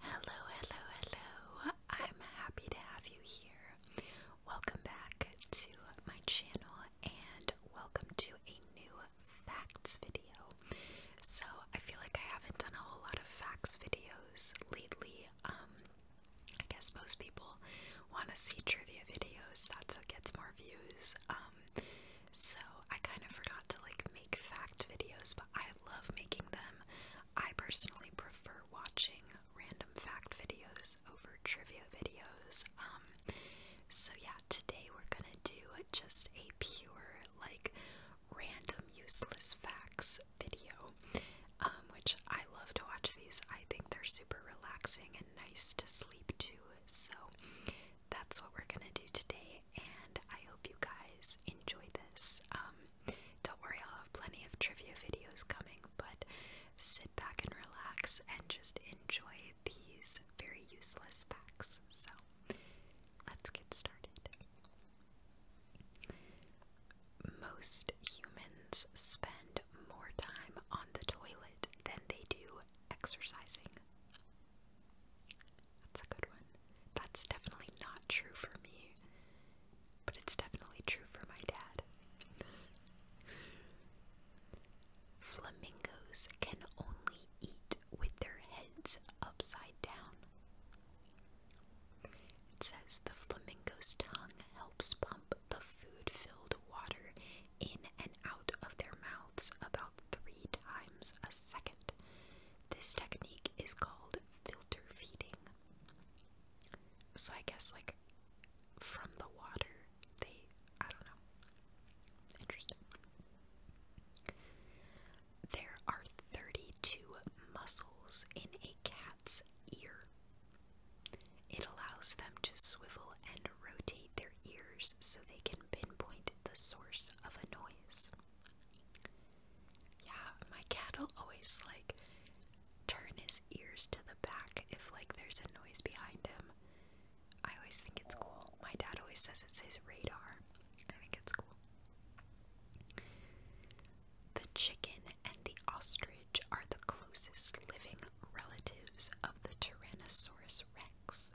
Hello, hello, hello. I'm happy to have you here. Welcome back to my channel and welcome to a new facts video. So, I feel like I haven't done a whole lot of facts videos lately. Um I guess most people want to see trivia videos. That's what gets more views. Um so I kind of forgot to like make fact videos, but I love making them I personally prefer watching random fact videos over trivia videos. Um, so yeah, today we're gonna do just a pure, like, random useless facts video, um, which I love to watch these. I think they're super relaxing and nice to sleep to. So that's what we're gonna do today and I hope you guys enjoy this. Um, don't worry, I'll have plenty of trivia videos coming, but sit back and relax and just enjoy these very useless facts. So, let's get started. Most humans spend more time on the toilet than they do exercising. That's a good one. That's definitely not true for me, but it's definitely true for my dad. Flamingos can only eat with their heads upside down. It says the flamingo's tongue helps pump the food filled water in and out of their mouths about three times a second, this technique is called filter feeding. So I guess like from the water they I don't know. Interesting. There are 32 muscles in a cat's ear. It allows them to swivel and rotate their ears so they can pinpoint the source of a noise. Yeah, my cat'll always like turn his ears to the back if like there's a noise behind him. I always think it's cool. My dad always says it's his radar. I think it's cool. The chicken and the ostrich are the closest living relatives of the Tyrannosaurus rex.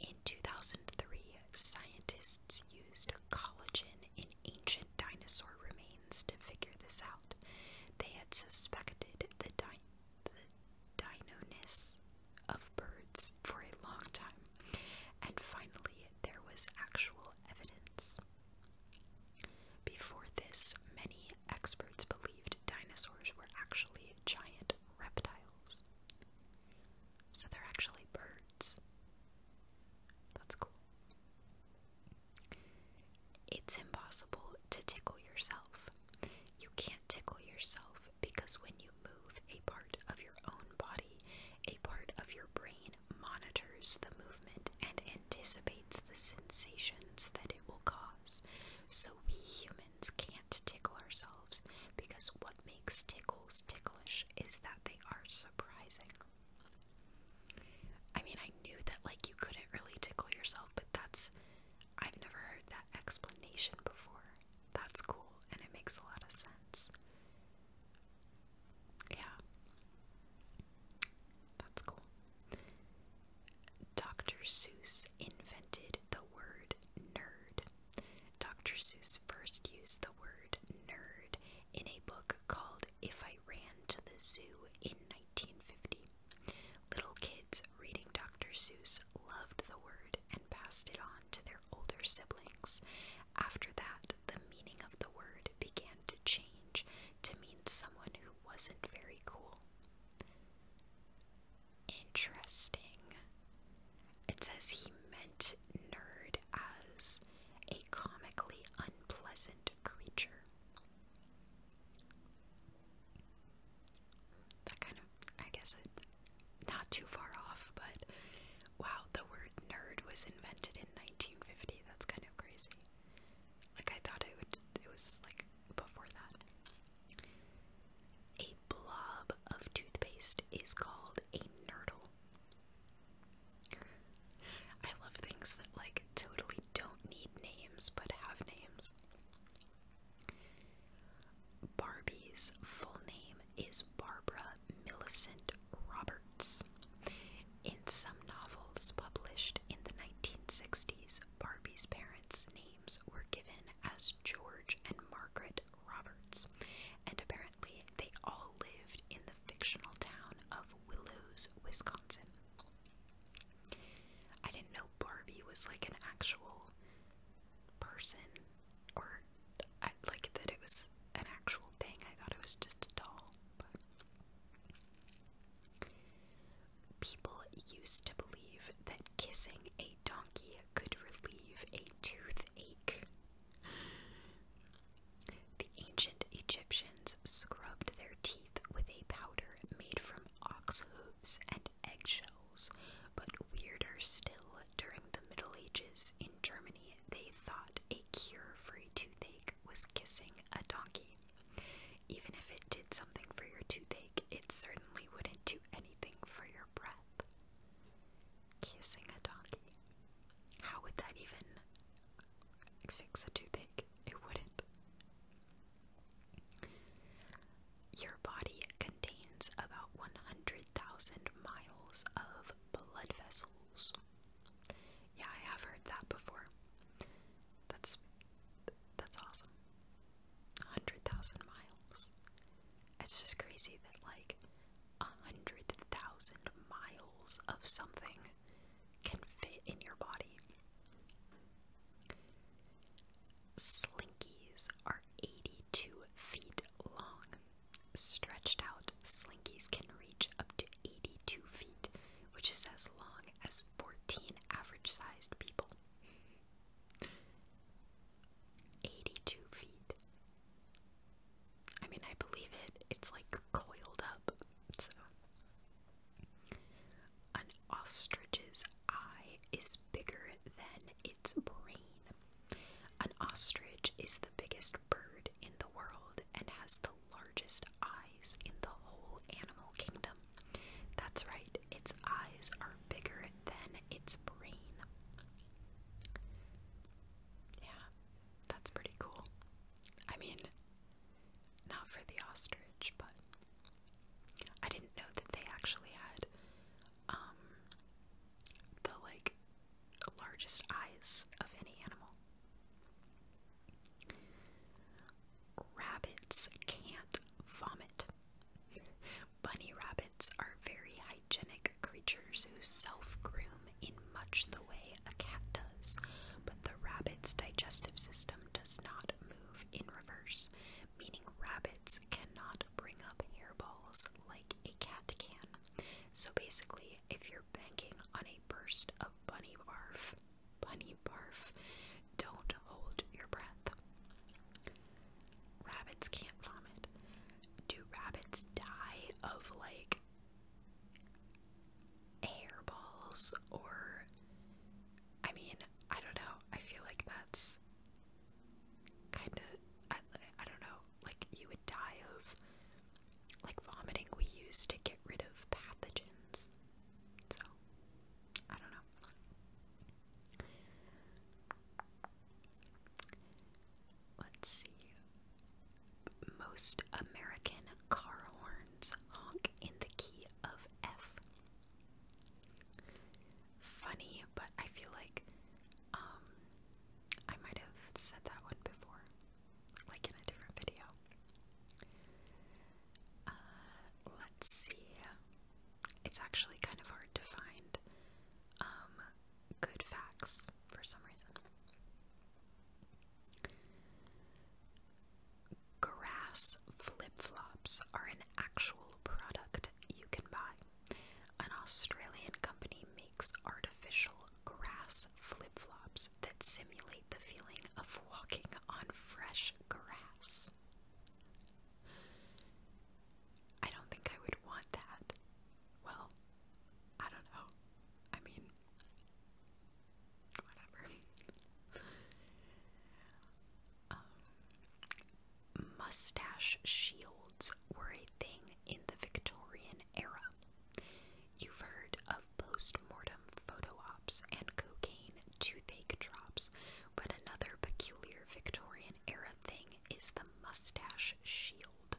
In 2003, scientists used collagen in ancient dinosaur remains to figure this out. They had suspected the, di of birds for a long time, and finally, there was actual evidence. Before this, many experts believed dinosaurs were actually giant reptiles. So they're actually birds. That's cool. It's impossible to tickle yourself. You can't tickle yourself because when you move, a part of your own body, a part of your brain monitors the movement and anticipates the sensations that it will cause. So we humans can't tickle ourselves because what makes tickles ticklish is that they are surprising. I mean, I knew that like you couldn't really tickle yourself, but that's I've never heard that explanation before. That's cool and it makes a lot of sense. Yeah. That's cool. Dr. Seuss invented the word nerd. Dr. Seuss first used the word nerd in a book called If I Ran to the Zoo in 1950. Little kids reading Dr. Seuss loved the word and passed it on to their older siblings. After that, the meaning of the word began to change to mean someone who wasn't very cool. Interesting. It says he meant nerd as a comically unpleasant creature. That kind of, I guess, not too far off, but wow, the word nerd was invented in 1950. That's kind of crazy. Like, I thought it would, it was like before that. A blob of toothpaste is called a nurdle. I love things that, like, totally don't need names but have names. Barbie's full name is Barbara Millicent Roberts. In some novels published in the 1960s, Barbie's parents' names were given as George and Margaret Roberts, and apparently they all lived in the fictional town of Willows, Wisconsin. I didn't know Barbie was like an actual person or like that it was an actual thing. I thought it was just a doll. people used to believe that kissing a donkey could relieve a toothache. The ancient Egyptians scrubbed their teeth with a powder made from ox hooves and eggshells, but weirder still, during the Middle Ages in Germany, they thought a cure for a toothache was kissing a donkey. Even if it did something for your toothache, it certainly wouldn't do anything for your breath kissing a donkey. How would that even fix a toothache? It wouldn't. Your body contains about 100,000 miles of blood vessels. Yeah, I have heard that before. That's that's awesome. 100,000 miles. It's just crazy that like a hundred thousand miles of something can fit in your body. Slinkies are 82 feet long. Stretched out, slinkies can reach up to 82 feet, which is as long as 14 average sized people. 82 feet. I mean, I believe it. It's like coiled up. An ostrich's eye is bigger than its brain. An ostrich is the biggest bird in the world and has the largest eyes in the whole animal kingdom. That's right, its eyes are bigger than its brain. Yeah, that's pretty cool. I mean, not for the ostrich, but I didn't know that they actually had um the like largest eyes of any animal. Rabbits can't vomit, bunny rabbits are very hygienic creatures who self groom in much the way a cat does, but the rabbit's digestive system does not move in reverse, meaning rabbits cannot bring up hairballs like a cat can. So basically, if you're banking on a burst of bunny barf, bunny barf, don't hold your breath. Rabbits can't vomit. Do rabbits die of like hairballs or I mean, I don't know. I feel like that's kind of I, don't know. Like you would die of like vomiting we use to get rid of pathogens. So, I don't know let's see. Most American car horns honk in the key of F. Funny, but I feel like um, I might have said that one before, like in a different video. Uh, let's see. It's actually kind of hard to find um, good facts for some reason. Grass flip flops are an actual product you can buy. An Australian company makes artificial grass flip flops that simulate the feeling of walking on fresh grass. I don't think I would want that. Well, I don't know. I mean, whatever. Um, mustache shields were a thing in the Victorian era. You've heard of post-mortem photo ops and cocaine toothache drops, but another peculiar Victorian era thing is the mustache shield,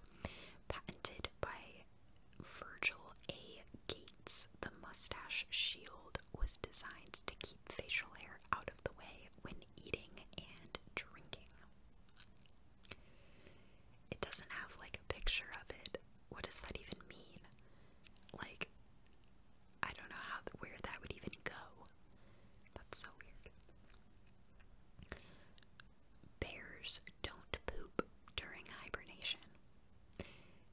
patented by Virgil A. Gates. The mustache shield was designed to keep facial hair out of the way when eating and drinking. It doesn't have like a picture of it. What does that even mean? Like, I don't know how where that would even go. That's so weird. Bears don't poop during hibernation.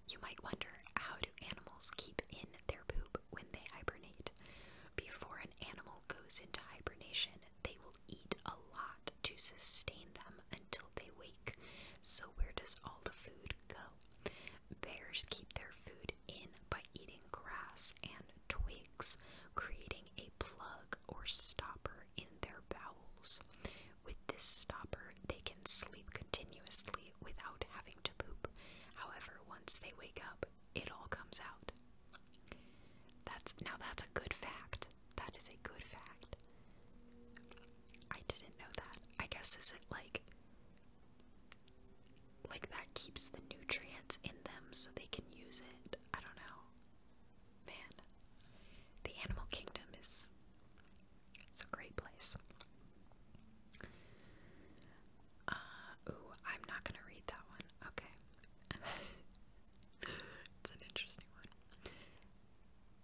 You might wonder how do animals keep in their poop when they hibernate? Before an animal goes into hibernation, they will eat a lot to sustain them until they wake. So, where does all the food go? Bears keep their food in by eating grass and twigs creating a plug or stopper in their bowels. With this stopper, they can sleep continuously without having to poop. However, once they wake up, it all comes out. That's now that's a good fact. That is a good fact. I didn't know that. I guess is it like like that keeps the nutrients in them so they can use it. I don't know. Man, the animal kingdom is it's a great place. Uh, ooh, I'm not gonna read that one. Okay. it's an interesting one.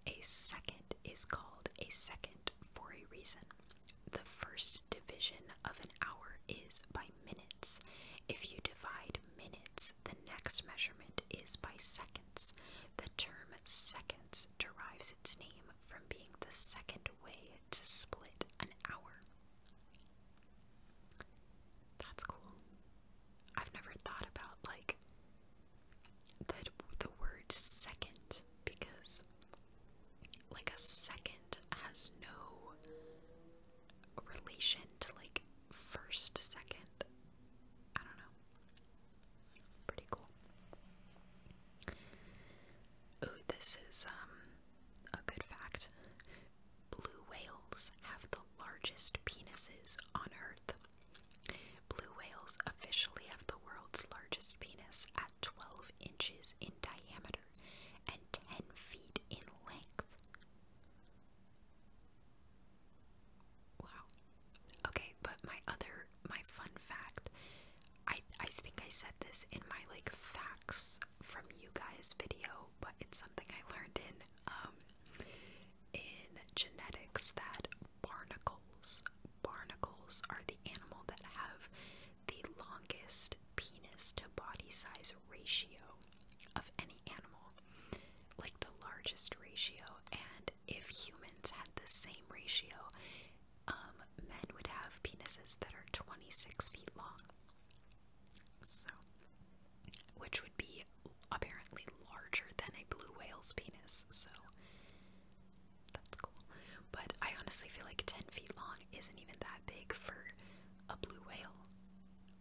A second is called a second for a reason. The first division of an hour is by minutes. If you divide minutes, the next measurement is by seconds. The term seconds derives its name from being the second way to split an hour. That's cool. I've never thought about like the the word second because like a second has no relation to like first, second. I don't know. Pretty cool. Oh, this is um a good fact. Blue whales have the largest penises on Earth. Blue whales officially have the world's largest penis at 12 inches in diameter and 10 feet in length. Wow. Okay, but my other my fun fact, I I think I said this in my like facts from you guys video, but it's something I learned in um in genetics that barnacles barnacles are the animal that have the longest penis to body size ratio of any animal, like the largest ratio. And if humans had the same ratio, um, men would have penises that are 26 feet long. So, which would be apparently larger than a blue whale's penis. So, that's cool. But I honestly feel like 10 feet long isn't even that big for a blue whale.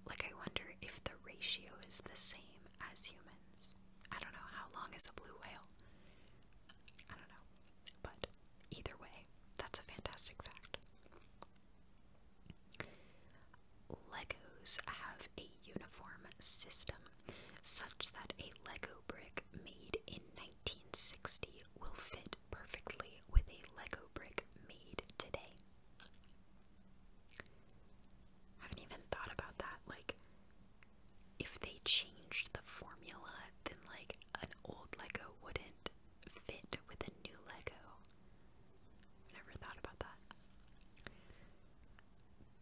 Like, I wonder if the ratio is the same as humans. I don't know. How long is a blue whale? I don't know. But either way, that's a fantastic fact. Legos have a uniform system such that a Lego brick made in 1960 will fit perfectly with a Lego brick made today. I haven't even thought about that. Like, if they changed the formula, then like an old Lego wouldn't fit with a new Lego. never thought about that.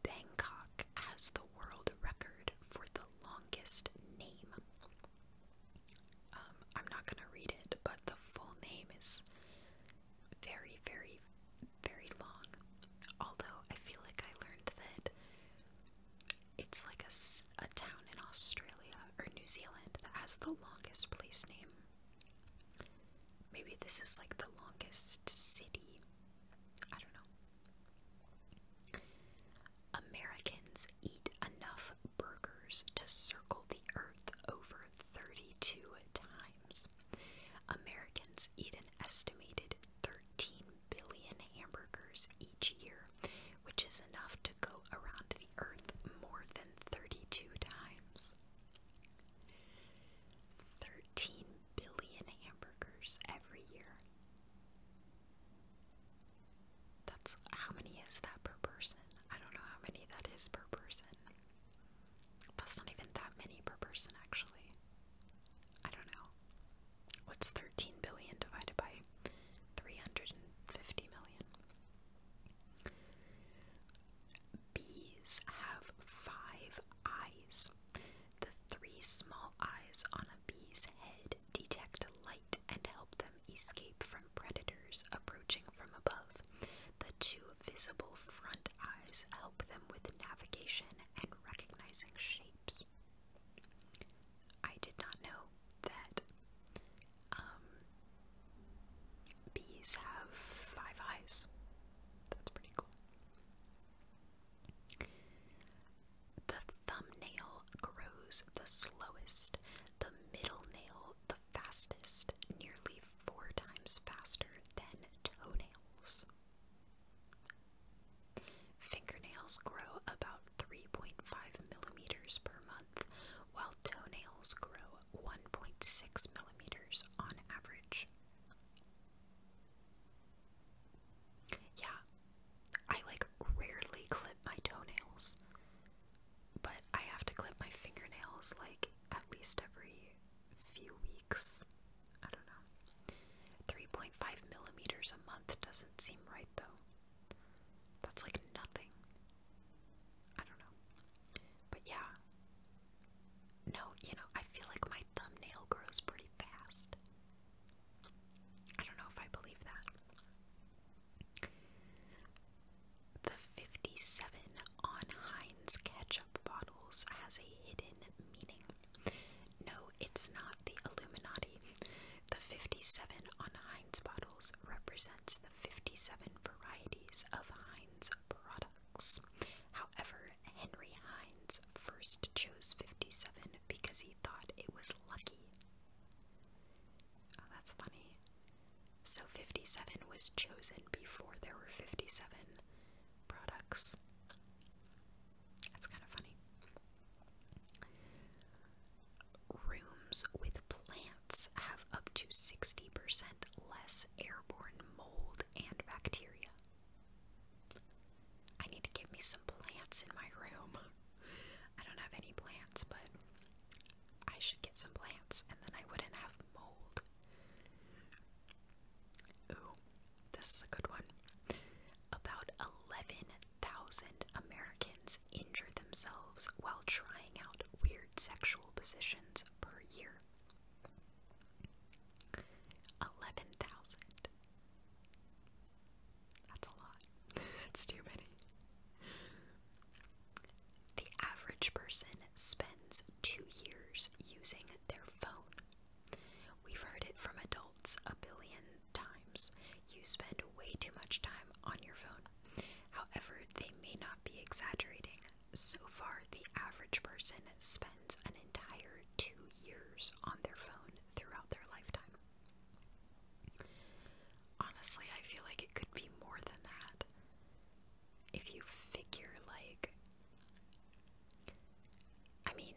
Bangkok has the world record for the longest name. Um, I'm not gonna read it, but the full name is very, very, very long. Although I feel like I learned that it's like a, a town in Australia or New Zealand that has the longest place name. Maybe this is like the longest city. I don't know. Americans eat enough burgers to circle the Earth over 32 times. Americans eat an estimated 13 billion hamburgers each year, which is enough to go around the Earth more than 32 times. 13 billion hamburgers every year. That's how many is that per person? I don't know how many that is per person. That's not even that many per person, actually. I don't know. What's 13 billion divided by 350 million? Bees have five eyes. The three small eyes on a bee's head detect light and help them escape from predators approaching from above. The two visible front eyes help them with navigation and recognizing shapes. I did not know that um, bees have five eyes. That's pretty cool. The thumbnail grows the slowest, the middle nail fastest, nearly four times faster than toenails. Fingernails grow about 3.5 millimeters per month, while toenails grow 1.6 millimeters on average. Yeah, I like rarely clip my toenails but I have to clip my fingernails like at least every few weeks. I don't know. 3.5 millimeters a month doesn't seem right though. That's like nothing. I don't know. But yeah. No, you know, I feel like my thumbnail grows pretty fast. I don't know if I believe that. The 57 on Heinz ketchup bottles has a hidden meaning. No, it's not the Illuminati. The 57 on Heinz bottles represents the 57 varieties of Heinz products. However, Henry Heinz first chose 57 because he thought it was lucky. Oh, that's funny. So 57 was chosen before there were 57 products. That's kind of funny. Rooms with plants have up to 60% less airborne mold and bacteria. I need to give me some plants in my room. I don't have any plants, but I should get some plants and then I wouldn't have mold. Ooh, this is a good one. About 11,000 Americans injure themselves while trying out weird sexual positions per year. 11,000. That's a lot. That's too many. The average person spends two years using their phone. We've heard it from adults a billion times. You spend way too much time on your phone. However, they may not be exaggerating. So far, the average person spends an entire two years on their phone throughout their lifetime. Honestly, I feel like it could be more than that if you figure like I mean,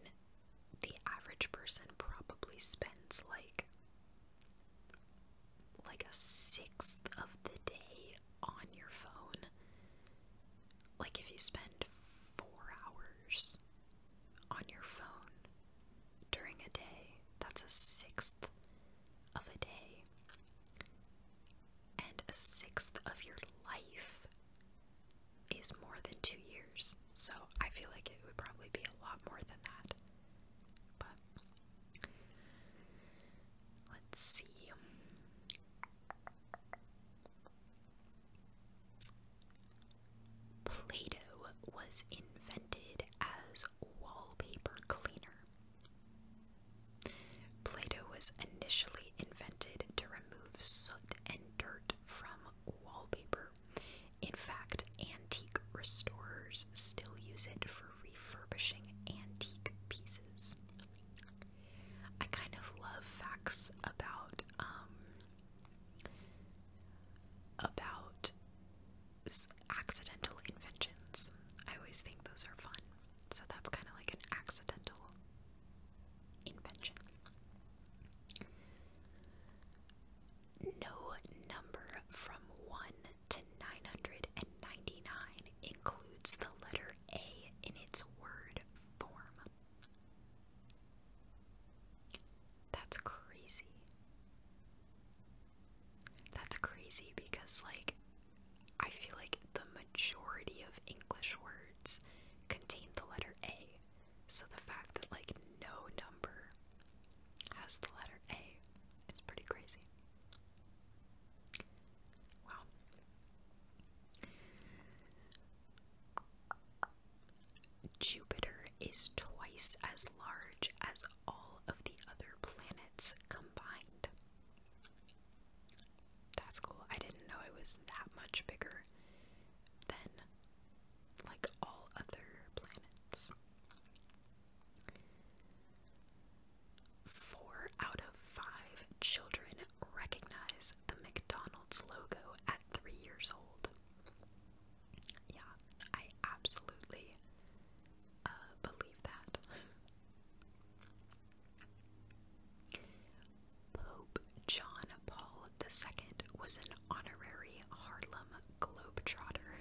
the average person probably spends like like a sixth of the day on your phone. Like if you spend 4 hours on your phone during a day, that's a sixth of a day and a sixth of your life is more than two years. So I feel like it would probably be a lot more than that. But let's see. Play Doh was invented as wallpaper cleaner Play-Doh was initially invented to remove soot and dirt from wallpaper. In fact, antique restorers still use it for refurbishing antique pieces. I kind of love facts about um, about accidental inventions. I always think those are fun so that's kind of like an accidental invention. No number from 1 to 999 includes the letter A in its word form. That's crazy. That's crazy because, like, I feel like the majority of English words contain the letter A. So the fact that like no number has the letter A is pretty crazy. Wow. Jupiter is twice as large as all of the other planets combined. That's cool. I didn't know it was that much bigger than like all other planets. Four out of five children recognize the McDonald's logo at three years old. Yeah, I absolutely believe that. Pope John Paul II was an honorary Harlem Globetrotter.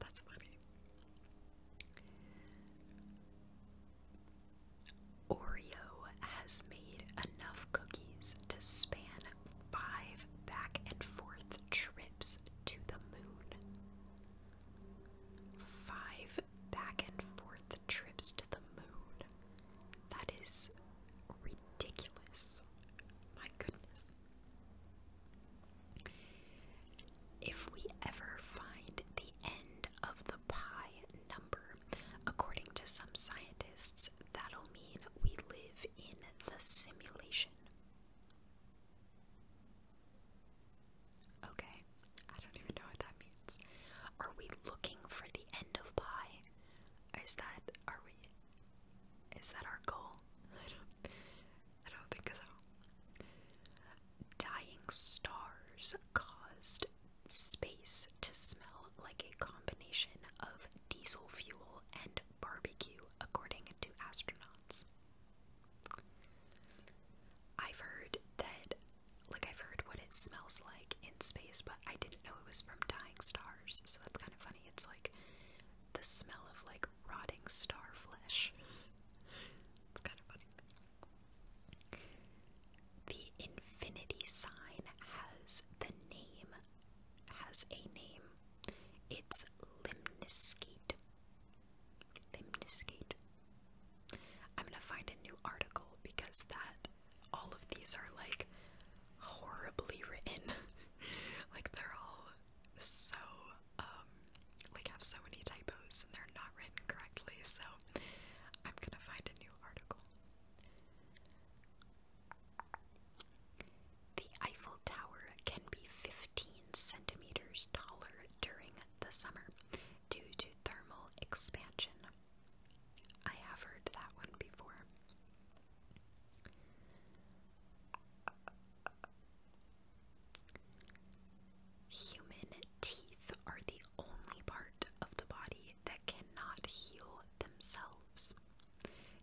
That's funny. Oreo has made enough cookies to span five back and forth trips to the moon. Five back and forth trips to the moon. That is ridiculous. My goodness. If we ever find the end of the pi number, according to some scientists, that'll mean we live in the simulation. Okay, I don't even know what that means. Are we looking for the end of pi? Is that are we? Is that our goal? I don't. think so. Dying stars caused space to smell like a combination of diesel fuel and barbecue, according to astronauts. I've heard that, like, I've heard what it smells like in space, but I didn't know it was from dying stars, so that's kind of funny. It's like the smell of, like, rotting star flesh. it's kind of funny. The infinity sign has the name, has a name. It's limniscate. Limniskate. I'm gonna find a new article because that all of these are like horribly written. like they're all so um like have so many typos and they're not written correctly, so I'm gonna find a new article. The Eiffel Tower can be 50 15 centimeters taller during the summer due to thermal expansion. I have heard that one before. Human teeth are the only part of the body that cannot heal themselves.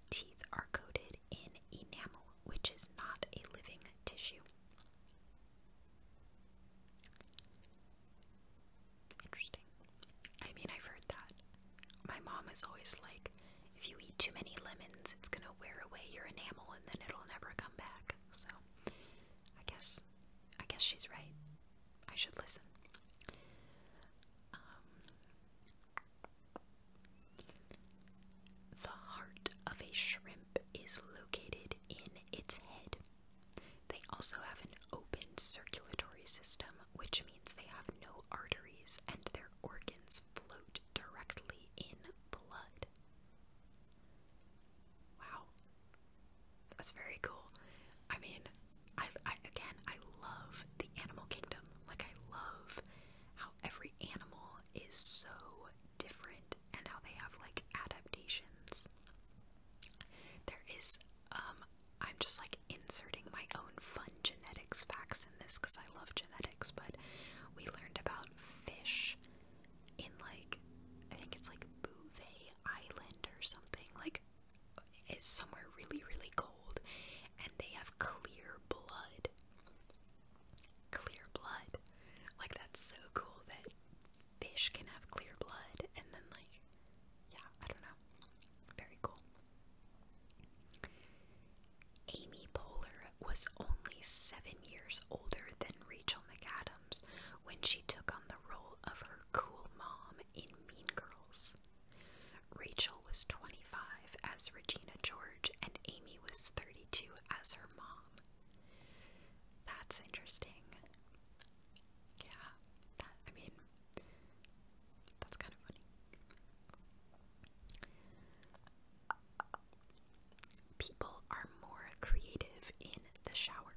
Teeth are coated in enamel, which is not a living tissue. Interesting. I mean, I've heard that. My mom is always like, if you eat too many lemons, it's gonna wear away your enamel and then it'll never come back. So, I guess, I guess she's right. I should listen. Um, the heart of a shrimp is located in its head. They also have an open circulatory system, which means they have no arteries and their organs float directly in blood. Wow. That's very cool. I mean, I, I again, I love the animal kingdom. Like I love how every animal is so different and how they have like adaptations. There is, um, I'm just like inserting my own fun genetics facts in this because I love genetics, but we learned about fish in like, I think it's like Bouvet Island or something, like, it's somewhere really, really cold, and they have clear blood. Clear blood. Like, that's so cool that fish can have clear blood, and then, like, yeah, I don't know. Very cool. Amy Poehler was only seven years older than Rachel McAdams when she took on the role of her cool mom in Mean Girls. Rachel was 25 as Regina George, and Amy Amy was 32 as her mom. That's interesting. Yeah, I mean, that's kind of funny. People are more creative in the shower.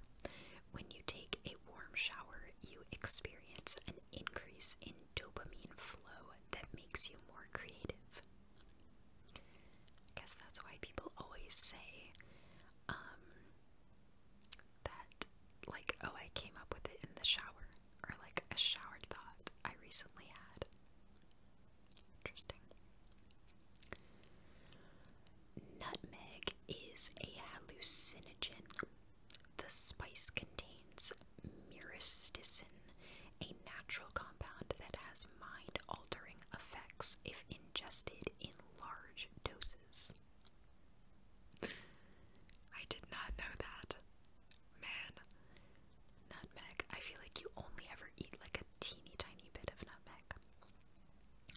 When you take a warm shower, you experience an increase in dopamine flow that makes you more creative. I guess that's why people always say um, that like oh I came up with it in the shower or like a shower thought I recently had. Interesting. Nutmeg is a hallucinogen. The spice contains myristicin, a natural compound that has mind altering effects if ingested in large doses. I did not know that. Man, nutmeg. I feel like you only ever eat like a teeny tiny bit of nutmeg.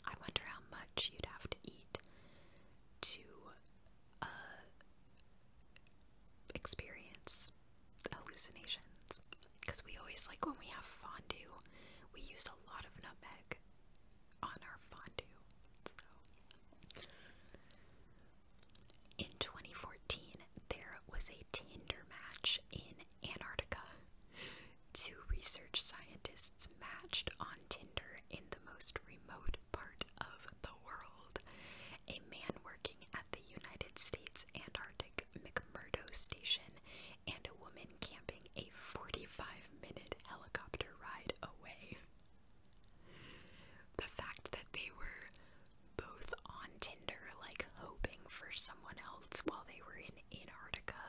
I wonder how much you'd have to eat to uh, experience hallucinations. Because we always, like, when we have fondue, we use a lot of nutmeg on our fondue. In 2014, there was a Tinder match in Antarctica. Two research scientists matched on Tinder in the most remote part of the world a man working at the United States Antarctic McMurdo Station, and a woman camping a 45 minute helicopter ride away. The fact that they were both on Tinder, like hoping for someone else while they were in Antarctica.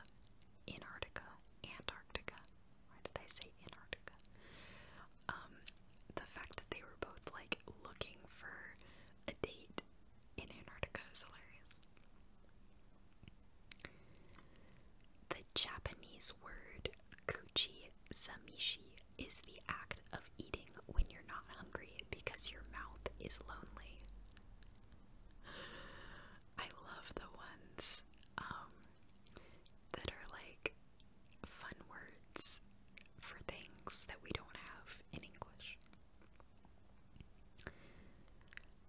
Antarctica. Antarctica. Why did I say Antarctica? Um, the fact that they were both like looking for a date in Antarctica is hilarious. The Japanese word kuchi samishi is the act of eating when you're not hungry because your mouth is lonely. I love the ones um, that are like fun words for things that we don't have in English.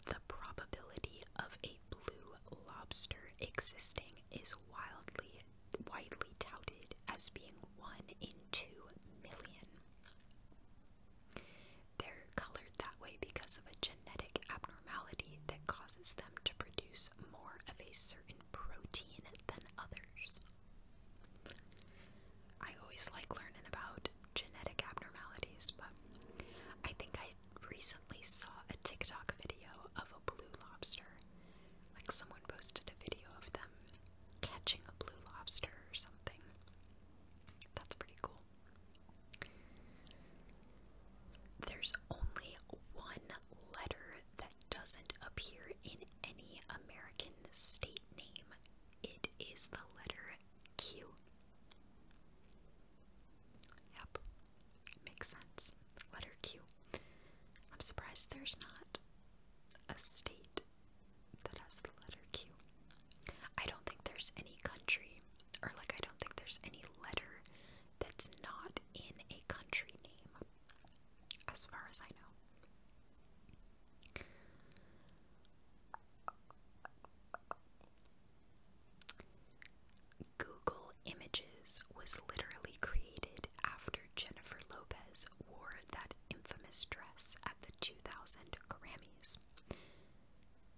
The probability of a blue lobster existing is wildly widely touted as being one in two million. They're colored that way because of a genetic abnormality that causes them to produce more of a certain protein than others. I always like learning about genetic abnormalities, but I think I recently saw a TikTok video of a blue lobster. Like someone posted a video of them catching a blue lobster or something. That's pretty cool. There's only one letter that doesn't appear in any American state name it is the letter Q. Yep, makes sense. Letter Q. I'm surprised there's not a state that has the letter Q. I don't think there's any country, or like, I don't think there's any letter that's not in a country name, as far as I know. Google Images was literally created after Jennifer Lopez wore that infamous dress at the 2000 Grammys.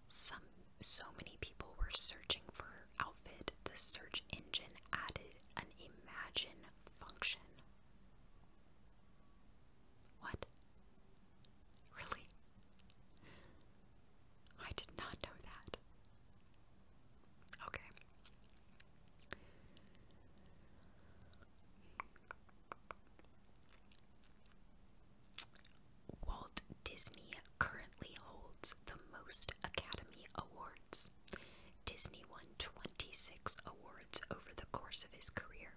Some so many people were searching for outfit, the search engine added an imagine function. What? Really? I did not know that. Okay. Walt Disney currently holds the most Academy Awards. Disney won 26 awards over the course of his career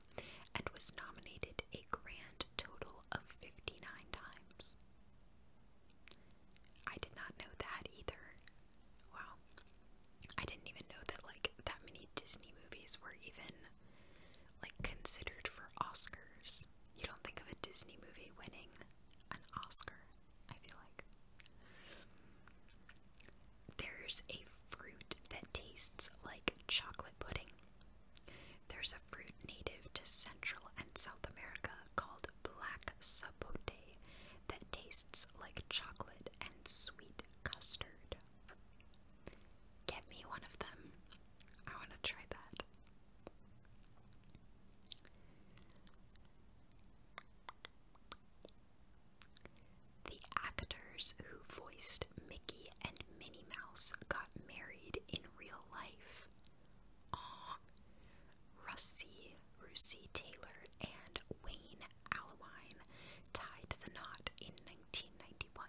and was nominated a grand total of 59 times. I did not know that either. Wow. I didn't even know that like that many Disney movies were even like considered for Oscars. You don't think of a Disney movie winning an Oscar, I feel like. There's a fruit that tastes like chocolate pudding. There's a fruit native to Central and South America called black sapote that tastes like chocolate and sweet custard. Get me one of them. I want to try that. The actors who voiced Mickey and Minnie Mouse got married in real life. Aw. Russie, Russie Taylor, and Wayne Allowine tied the knot in 1991.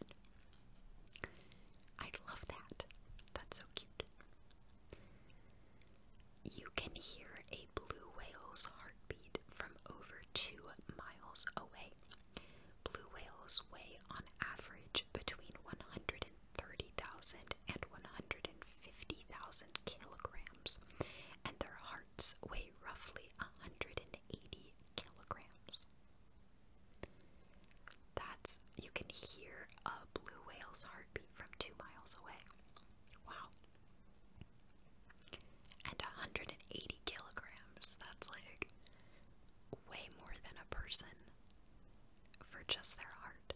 I love that. That's so cute. You can hear a blue whale's heart heartbeat from over two miles away. Blue whales weigh on average between 130,000 and 150,000 kilograms, and their hearts weigh roughly 180 kilograms. That's, you can hear a blue whale's heartbeat from two miles away. Wow and 180 kilograms. That's like way more than a person for just their heart.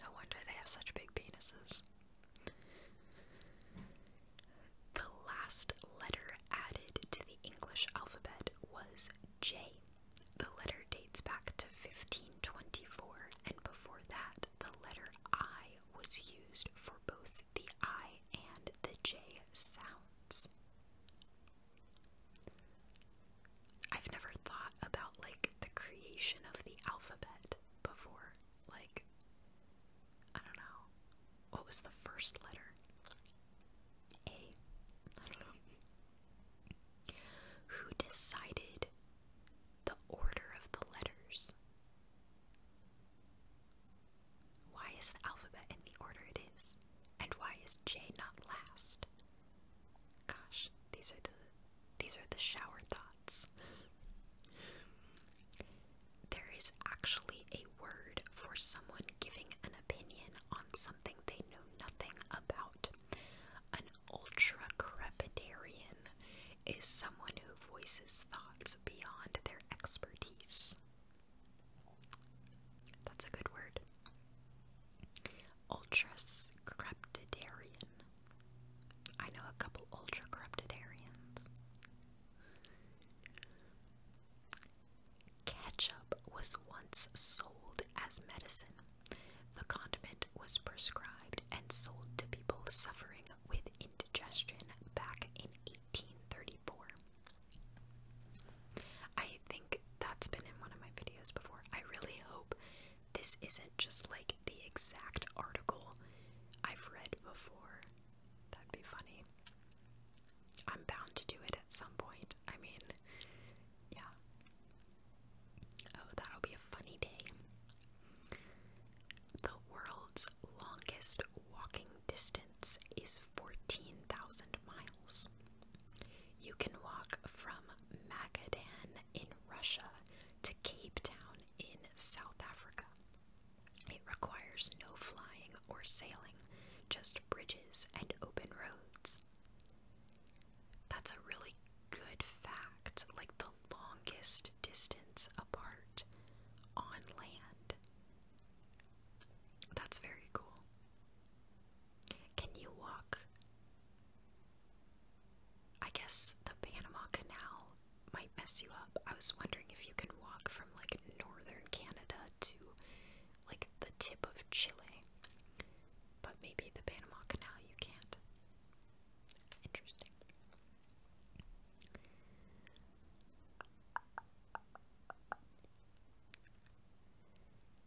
No wonder they have such big penises. The last letter added to the English alphabet was J. The letter dates back to 1524, and before that, the letter I was used for both the I and the J sounds. I've never thought about like the creation of the alphabet before. Like, I don't know. What was the first letter? A. I don't know. Who decided the order of the letters? Why is the alphabet in the order it is? And why is J not last? Gosh, these are the these are the shower thoughts. There is actually a word for someone giving an opinion on something they know nothing about. An ultra crepidarian is someone who voices thoughts beyond their expertise. That's a good word. Ultras creptidarian. I know a couple ultra creptidarians. Ketchup was once sold as medicine. The condiment was prescribed and sold to people suffering with indigestion back in 1834. I think that's been in one of my videos before. I really hope this isn't just like the exact article I've read before. That'd be funny. I'm bound to do it at some point. I mean, yeah. Oh, that'll be a funny day. The world's longest walking distance is 14,000 miles. You can walk from Magadan in Russia to Cape Town in South Africa. It requires no flying or sailing, just bridges and open roads. That's a really good fact, like the longest distance apart on land that's very cool. Can you walk? I guess the Panama Canal might mess you up. I was wondering if you can walk from like northern Canada to like the tip of Chile. But maybe the Panama Canal you can't. Interesting.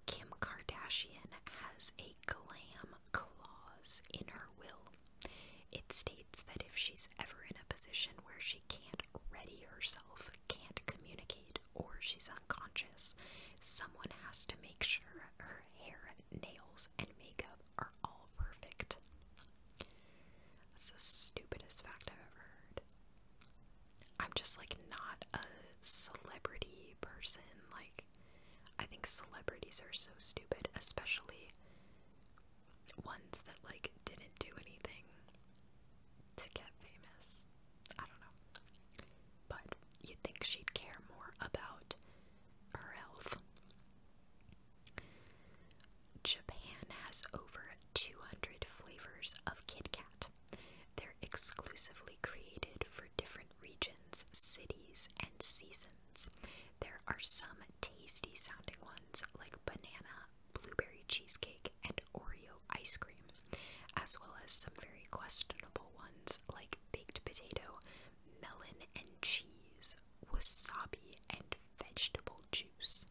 Kim Kardashian has a glam clause in her will. It states that if she's ever in a position where she can't ready herself, can't communicate, or she's unconscious, someone has to make sure her hair, nails, and makeup are all perfect. That's the stupidest fact I've ever heard. I'm just like not a celebrity person. Like, I think celebrities are so stupid, especially ones that like didn't do anything to get famous. I don't know. But you'd think she'd care more about her health Japan has over 200 flavors of KitKat. They're exclusively created for different regions, cities, and seasons. There are some tasty sounding ones like banana, blueberry cheesecake, and Oreo ice cream, as well as some very questionable ones like baked potato, melon and cheese, wasabi, and vegetable juice.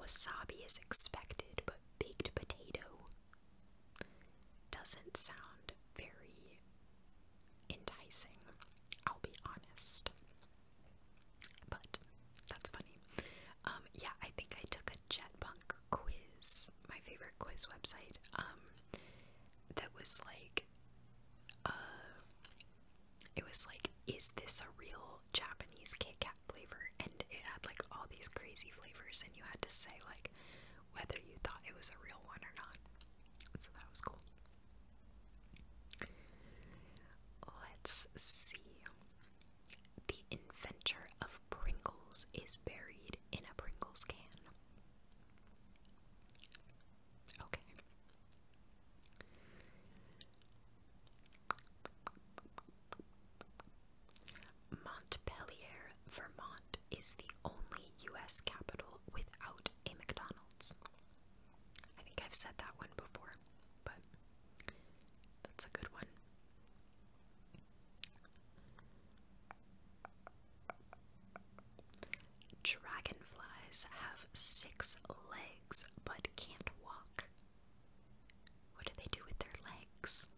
Wasabi is expected, but baked potato doesn't sound very enticing, I'll be honest. But that's funny. Um, yeah, I think I took a Jetpunk quiz, my favorite quiz website, um, that was like uh, it was like, is this a real Japanese Kit flavor? And it had like all these crazy flavors, and you had to say like whether you thought it was a real one or not. So that was cool. Let's see. The inventor of Pringles is buried in a Pringles can. Montpelier, Vermont is the only U.S. capital without a McDonald's. I think I've said that one before, but that's a good one. Dragonflies have six legs but can't walk. What do they do with their legs?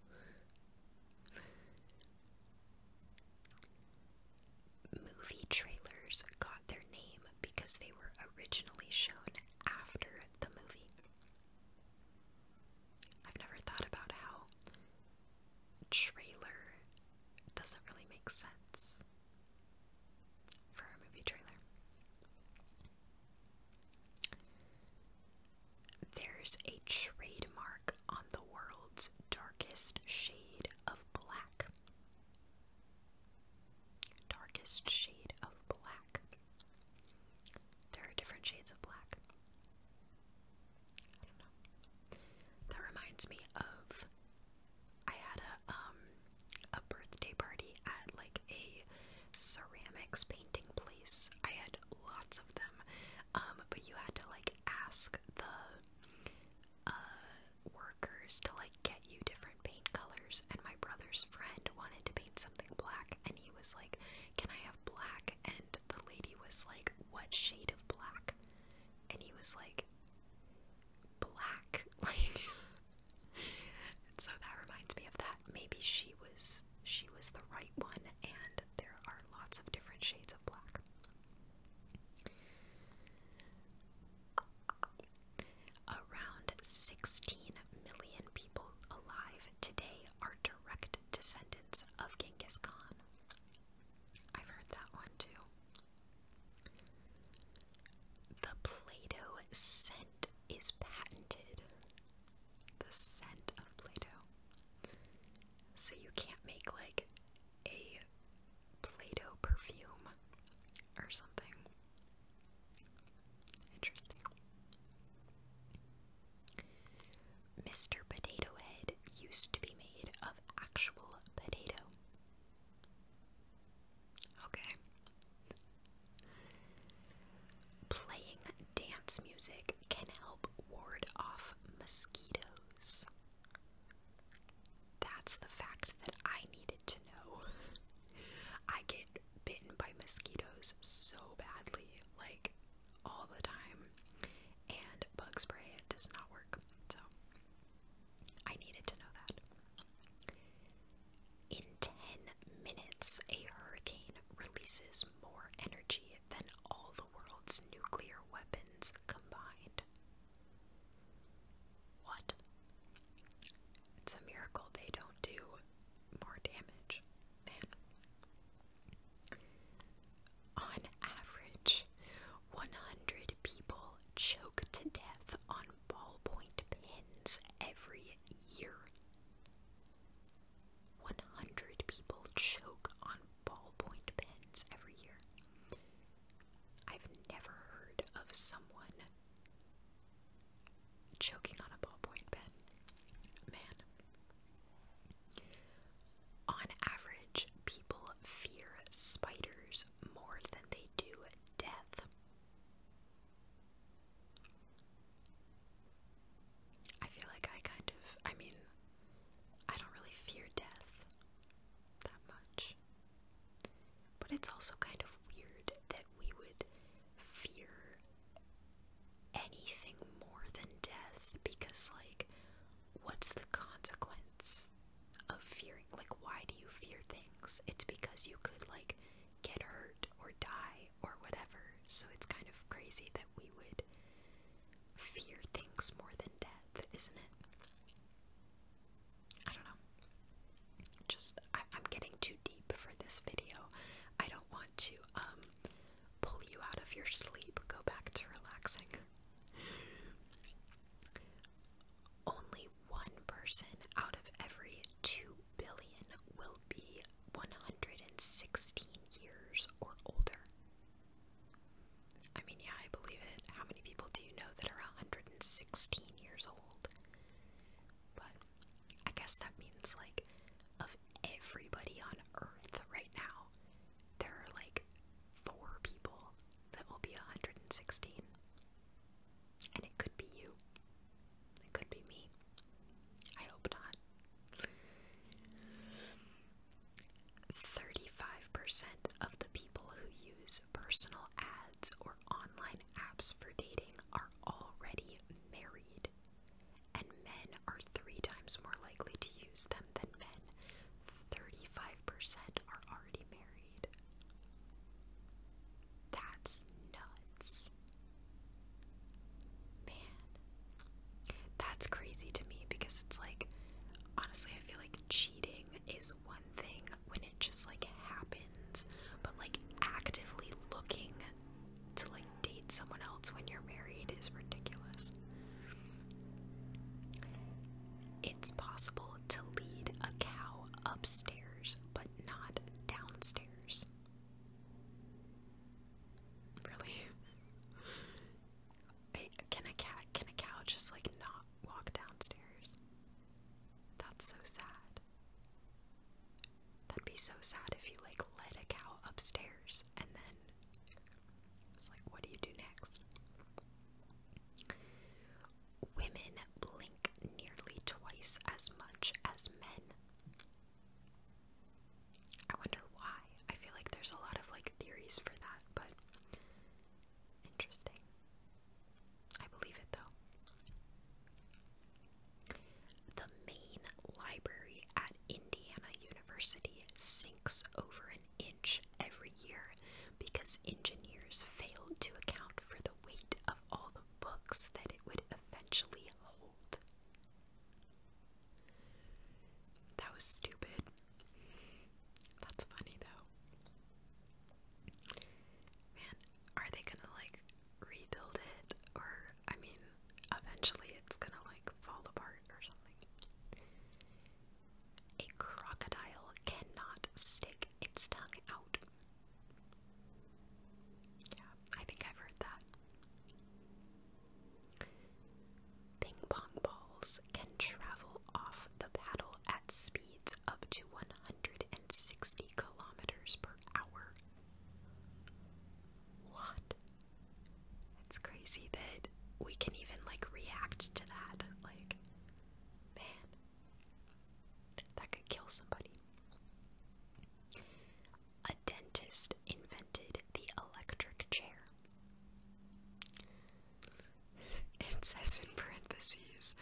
Movie trailers got their name because they were originally shown after the movie. I've never thought about how trailer doesn't really make sense for our movie trailer. There's a trademark on the world's darkest shade of black. Darkest shade of black. There are different shades of black. That reminds me of I had a um, a birthday party at like a ceramics painting place. I had lots of them. Um, but you had to like ask the uh, workers to like get you different paint colors and my brother's friend wanted to paint something black and he was like, Can I have black? And the lady was like, What shade of black? And he was like, black. so that reminds me of that. Maybe she was she was the right one and there are lots of different shades of black. Around 16 million people alive today are direct descendants of Genghis Khan. I've heard that one too. The Play Doh scent is patented. The scent of Play Doh. So you can't make like a Play Doh perfume or something. Interesting. Mr. Potato Head used to be made of actual potato. Okay. Playing dance music can help ward off mosquitoes. That's the fact that I needed to know. I get bitten by mosquitoes so badly, like all the time, and bug spray does not work. So I needed to know that. In 10 minutes, a hurricane releases more energy than all the world's nuclear weapons combined. What? It's a miracle they don't do more damage, man. On average, 100 people choke to death on ballpoint pens every year. 100 people choke on ballpoint pens every year. I've never heard of someone choking on a ballpoint pen. Man. On average, people fear spiders more than they do death. I feel like I kind of, I mean, I don't really fear death that much. But it's also kind of weird that we would fear anything more than death because, like, what's the consequence? of fearing. Like, why do you fear things? It's because you could, like, get hurt or die or whatever. So it's kind of crazy that we would fear things more than death, isn't it? I don't know. Just, I, am getting too deep for this video. I don't want to, um, pull you out of your sleep. Go back to relaxing. Only one person out of every 2 billion will be 116 years or older. I mean, yeah, I believe it. How many people do you know that are 116 years old? But I guess that means, like, of everybody on Earth right now, there are like four people that will be 116. And it could be you. It could be me. I hope not. 35% of the people who use personal ads or online apps for dating are already married, and men are three times more likely to use them than men, 35% are already married. That's nuts. Man. That's crazy to me because it's like, honestly, I feel like cheating is one thing when it just like happens, but like actively looking to like date someone else when you're married is ridiculous. It's possible to lead a cow upstairs but not downstairs. Really? Can a cat can a cow just like not walk downstairs? That's so sad. That'd be so sad if you like let a cow upstairs and then it's like what do you do next? Women blink nearly twice as much as men. I wonder why. I feel like there's a lot of like theories for that, but interesting. I believe it though. The main library at Indiana University sinks over an inch every year because engineers failed to account for the weight of all the books that it would eventually hold. That was stupid. That's funny though. Man, are they gonna like rebuild it? Or, I mean, eventually it's gonna like fall apart or something. A crocodile cannot stick its tongue out. Yeah, I think I've heard that. Ping pong balls can travel off the paddle at speeds up to 160 kilometers per hour. What? It's crazy that we can even like react to that. Like, man, that could kill somebody. A dentist invented the electric chair. It says in parentheses,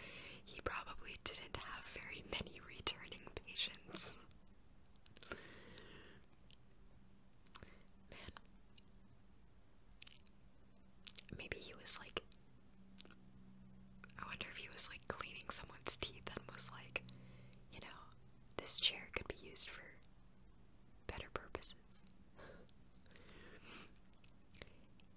he probably didn't have very many returning patients. Man, Maybe he was like. I wonder if he was like cleaning someone's teeth and was like, you know, this chair could be used for better purposes.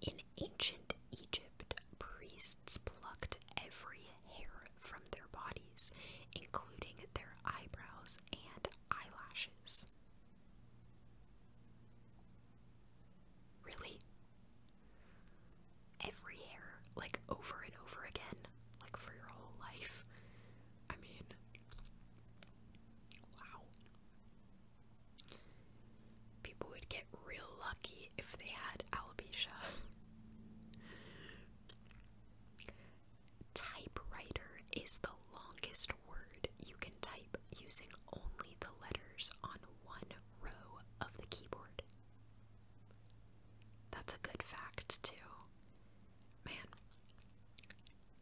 In ancient Egypt, priests plucked every hair from their bodies, including their eyebrows and eyelashes. Really? Every hair, like over and over again, like for your whole life. I mean, wow. People would get real lucky if they had alopecia. Typewriter is the longest word you can type using only the letters on one row of the keyboard. That's a good fact, too. Man,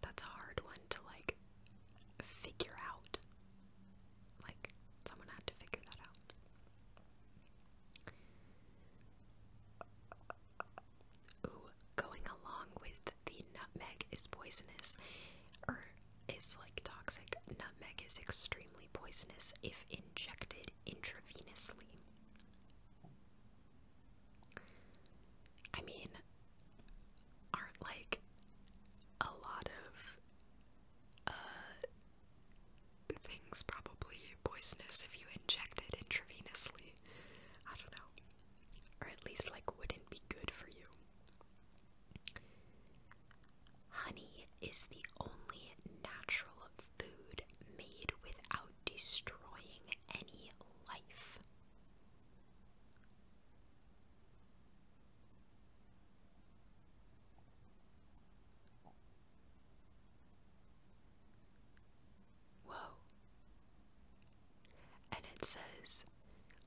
that's a hard one to like figure out. Like, someone had to figure that out. Ooh, going along with the nutmeg is poisonous. Er, is like toxic. Nutmeg is extremely poisonous if injected intravenously. I mean, aren't like a lot of uh, things probably poisonous if you inject it intravenously. I don't know. Or at least like wouldn't be good for you. Honey is the only natural food made without destroying any life. Whoa. And it says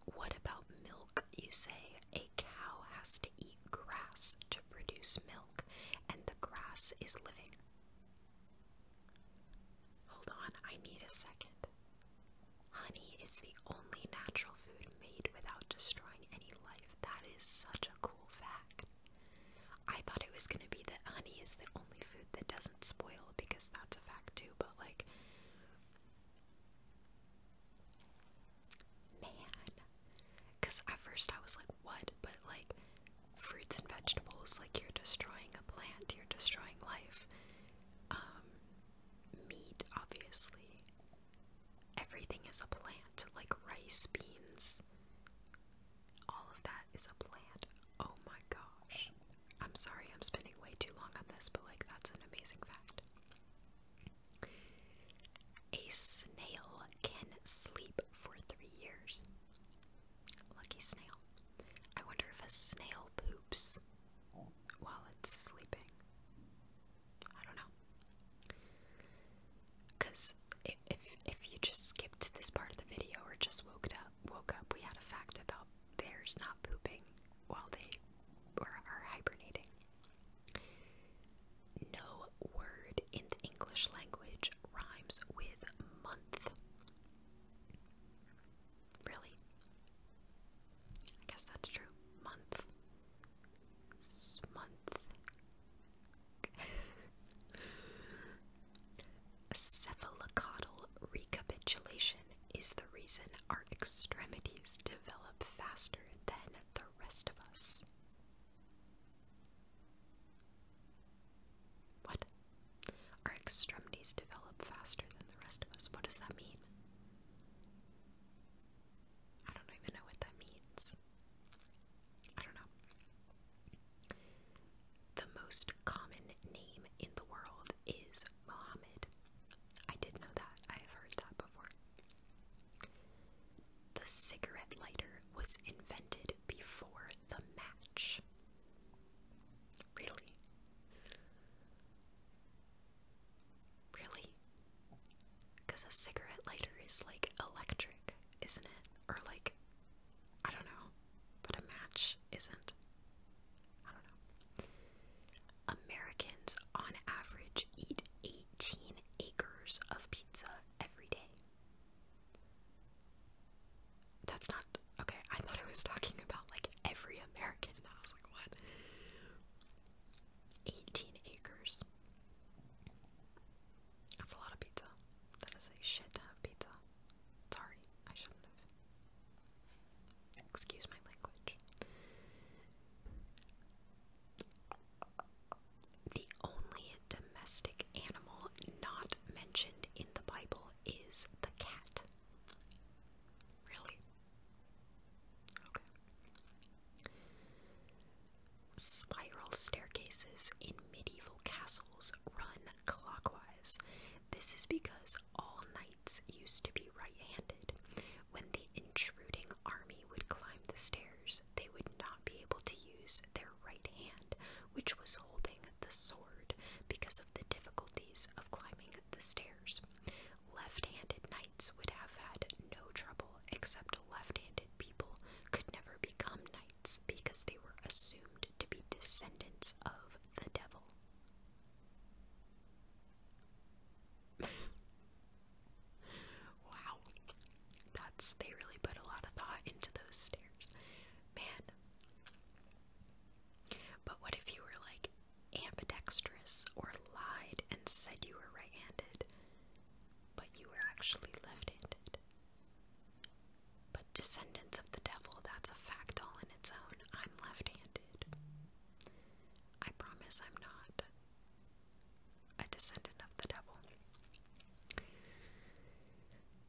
what about milk? You say a cow has to eat grass to produce milk, and the grass is living. Hold on, I need a second. Honey is the only natural food made without destroying any life. That is such a cool fact. I thought it was gonna be that honey is the only food that doesn't spoil because that's a fact too, but like, Man. Because at first I was like, what? But like, fruits and vegetables, like, you're destroying a plant, you're destroying life. Um, meat, obviously. Everything is a plant, like rice, beans. All of that is a plant. Oh my gosh. I'm sorry I'm spending way too long on this, but like, that's an amazing fact. A snail can sleep for three years. Lucky snail. I wonder if a snail poops while it's sleeping. I don't know. Because if if you just skipped this part of the video or just woke up, woke up, we had a fact about bears not pooping while they or are hibernating. No word in the English language rhymes with month. Really? I guess that's true. Month. month. Cephalocodal recapitulation is the reason our extremities develop faster than the rest of us. What? Our extremities develop faster than the rest of us. What does that mean? I don't even know what that means. I don't know. The most common name in the world is Mohammed. I did know that. I have heard that before. The cigarette lighter was invented before the match. Really? Really? Because a cigarette lighter is like electric, isn't it? Or like, I don't know, but a match isn't. I don't know. Americans, on average, eat 18 acres of pizza every day. That's not okay. I thought I was talking about like every American, and I was like, what? 18 acres. That's a lot of pizza. That is a shit ton of pizza. Sorry, I shouldn't have. Excuse my language. The only domestic animal not mentioned in the Bible is the cat. Really? Spiral staircases in medieval castles run clockwise. This is because all knights used to be right handed, when the intruding army would climb the stairs, they would not be able to use their right hand, which was holding the sword, because of the difficulties of climbing the stairs. Left handed knights would have had no trouble, except left handed people could never become knights because they were assumed to be descendants of the devil wow. That's they really put a lot of thought into those stairs. Man. But what if you were like ambidextrous or lied and said you were right handed, but you were actually left handed? But descendants of the devil, that's a fact all in its own. I'm left handed. I promise I'm not a descendant of the devil.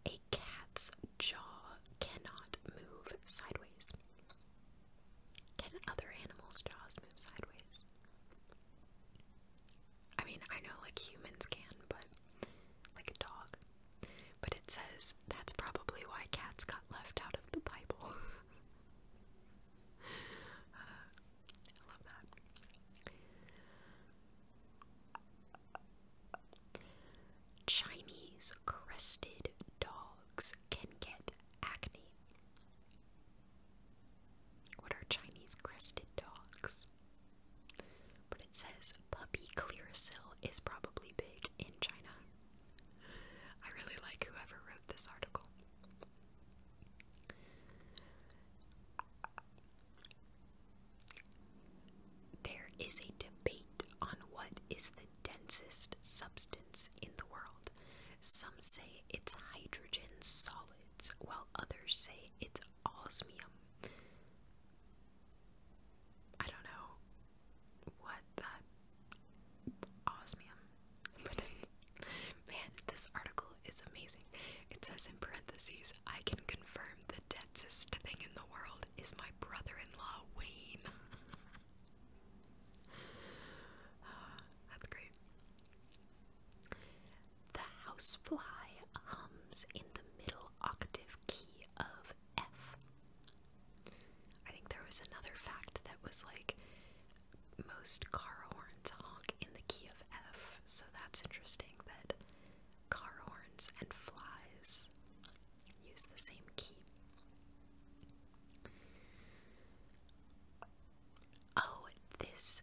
A cat's jaw cannot move sideways. Can other animals' jaws move sideways? I mean, I know like humans can, but like a dog. But it says that's probably why cats got left out of the Bible. Chinese crested dogs can get acne. What are Chinese crested dogs? But it says puppy clearasil is probably big in China. I really like whoever wrote this article. There is a debate on what is the densest substance in the world. Some say it's hydrogen solids, while others say it's osmium. I don't know what that osmium. man, this article is amazing. It says in parentheses, I can confirm the densest thing in the world is my brother-in-law Wayne. that's great. The housefly hums in the middle octave key of F. I think there was another fact that was like most car horns honk in the key of F, so that's interesting that car horns and flies use the same key. Oh, this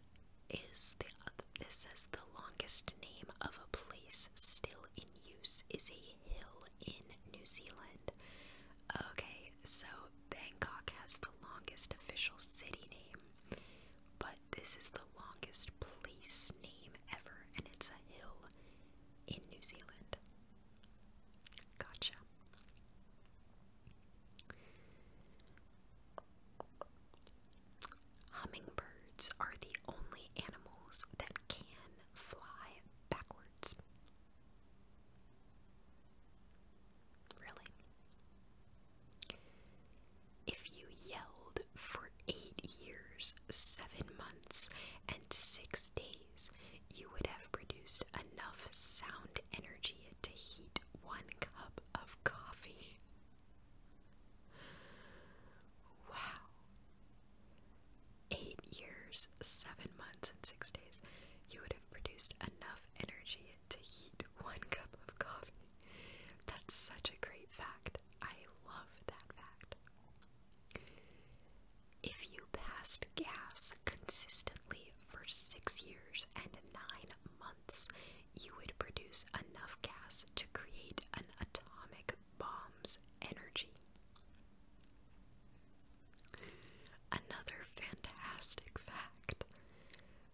is the this says the longest name of a place still in use is a hill in New Zealand. Okay, so Bangkok has the longest official city name, but this is the longest place name ever, and it's a hill in New Zealand. Gotcha. Hummingbirds are the only animals that can fly backwards. Really? If you yelled for eight years, seven months, and six days, you would have produced enough sound energy to heat one cup of coffee. Wow. Eight years, seven months, and six days. You would have produced enough energy to heat one cup of coffee. That's such a great fact. I love that fact. If you passed gas consistently for six years and nine months, you would produce enough gas to create an atomic bomb's energy. Another fantastic fact.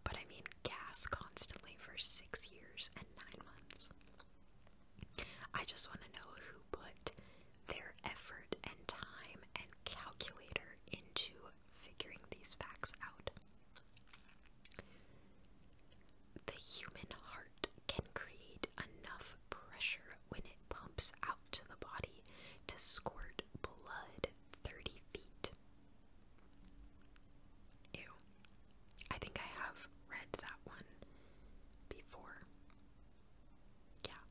But I mean, gas constantly for six years and nine months. I just want to know who put their effort and time and calculator into figuring these facts out. The human heart can create enough pressure when it pumps out to the body to squirt blood 30 feet. Ew. I think I have read that one before. Yeah.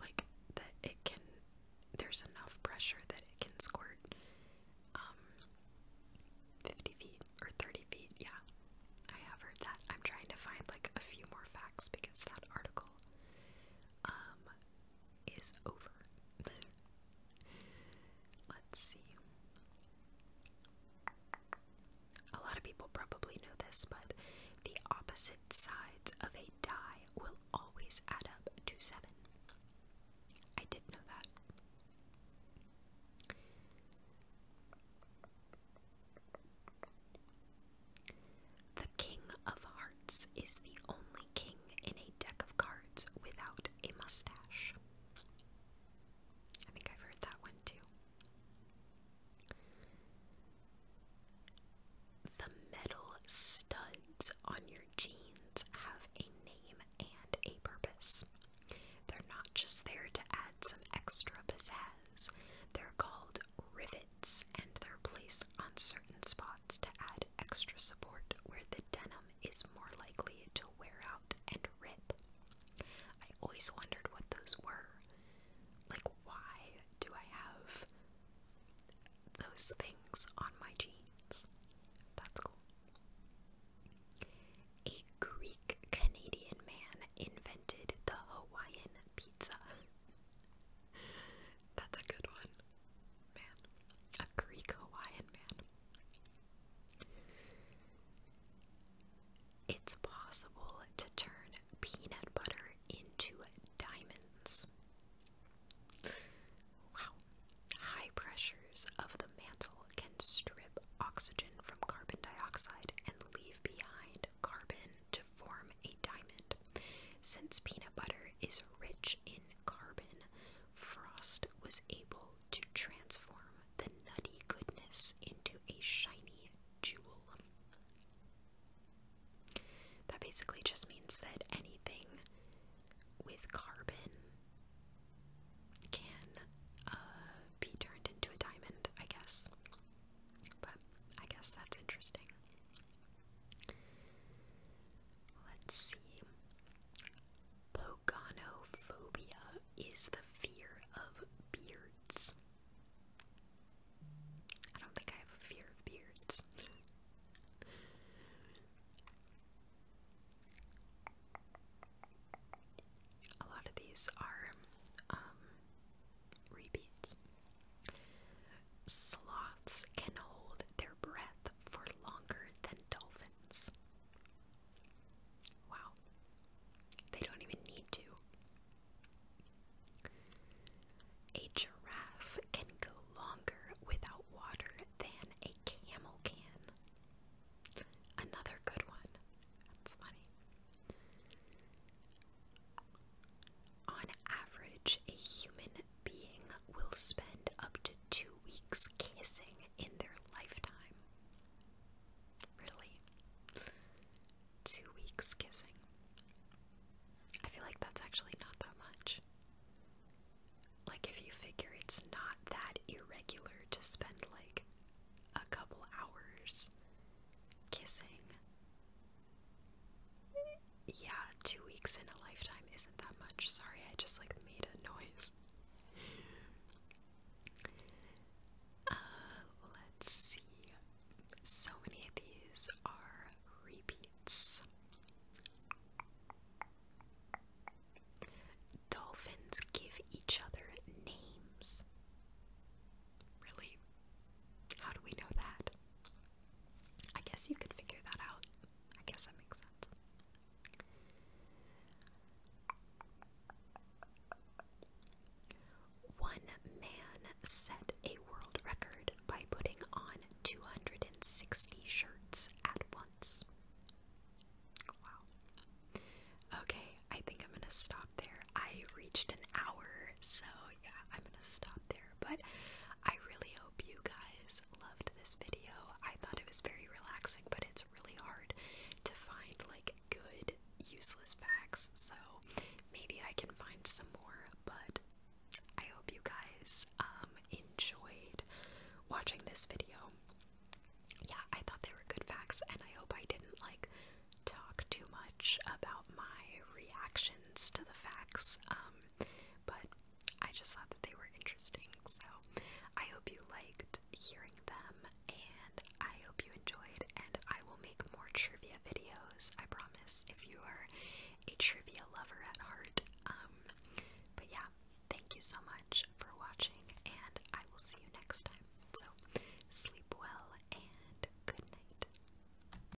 Like that it can there's enough pressure that it can squirt um 50 feet or 30 feet, yeah. I have heard that. I'm trying to find like a few more facts because that article um is over. Let's see. A lot of people probably know this, but the opposite sides of a die will always add up to seven. I did know that. The King of Hearts is the only king in a deck of cards without a mustache. I think I've heard that one too. The metal studs on your jeans have a name and a purpose. They're not just there to add some extra pizzazz, they're called rivets. And they're placed on certain spots to add extra support where the denim is more likely to wear out and rip. I always wondered what those were. Like, why do I have those things on my jeans? That's cool. A Greek Canadian man invented the Hawaiian pizza. That's a good one. Man. A Greek Hawaiian man. It's possible to turn peanut butter into diamonds. Wow. High pressures of the mantle can strip oxygen from carbon dioxide and leave behind carbon to form a diamond. Since peanut butter is rich in carbon, Frost was able to transform the nutty goodness into a shiny jewel. That basically just means that anything with carbon can uh, be turned into a diamond, I guess. But I guess that's interesting. Let's see. Pogonophobia is the fear of beards. I don't think I have a fear of beards. a lot of these are um repeats. Sloths can hold their breath for longer than dolphins. Wow. They don't even need to. A giraffe can go longer without water than a camel can. Another good one. That's funny. On average, a human being will spend up to two weeks kissing in their lifetime. Really? Two weeks kissing. I feel like that's actually not that much. Like, if you figure it's not that irregular to spend like a couple hours kissing yeah, two weeks in a lifetime isn't that much. Sorry, I just like made a noise. Uh, let's see. So many of these are repeats. Dolphins give each other names. Really? How do we know that? I guess you could figure that out. I guess that makes sense. One man set a world record by putting on 260 shirts at once. Wow. Okay, I think I'm gonna stop there. I reached an hour, so yeah, I'm gonna stop there. But I really hope you guys loved this video. I thought it was very relaxing, but it's really hard to find like good useless facts. So maybe I can find some more, but I hope you guys um, enjoyed watching this video. Yeah, I thought they were good facts and I hope I didn't like talk too much about my reactions to the facts. Um, but I just thought they were interesting. So I hope you liked hearing them, and I hope you enjoyed. And I will make more trivia videos. I promise. If you are a trivia lover at heart, um, but yeah, thank you so much for watching, and I will see you next time. So sleep well and good night.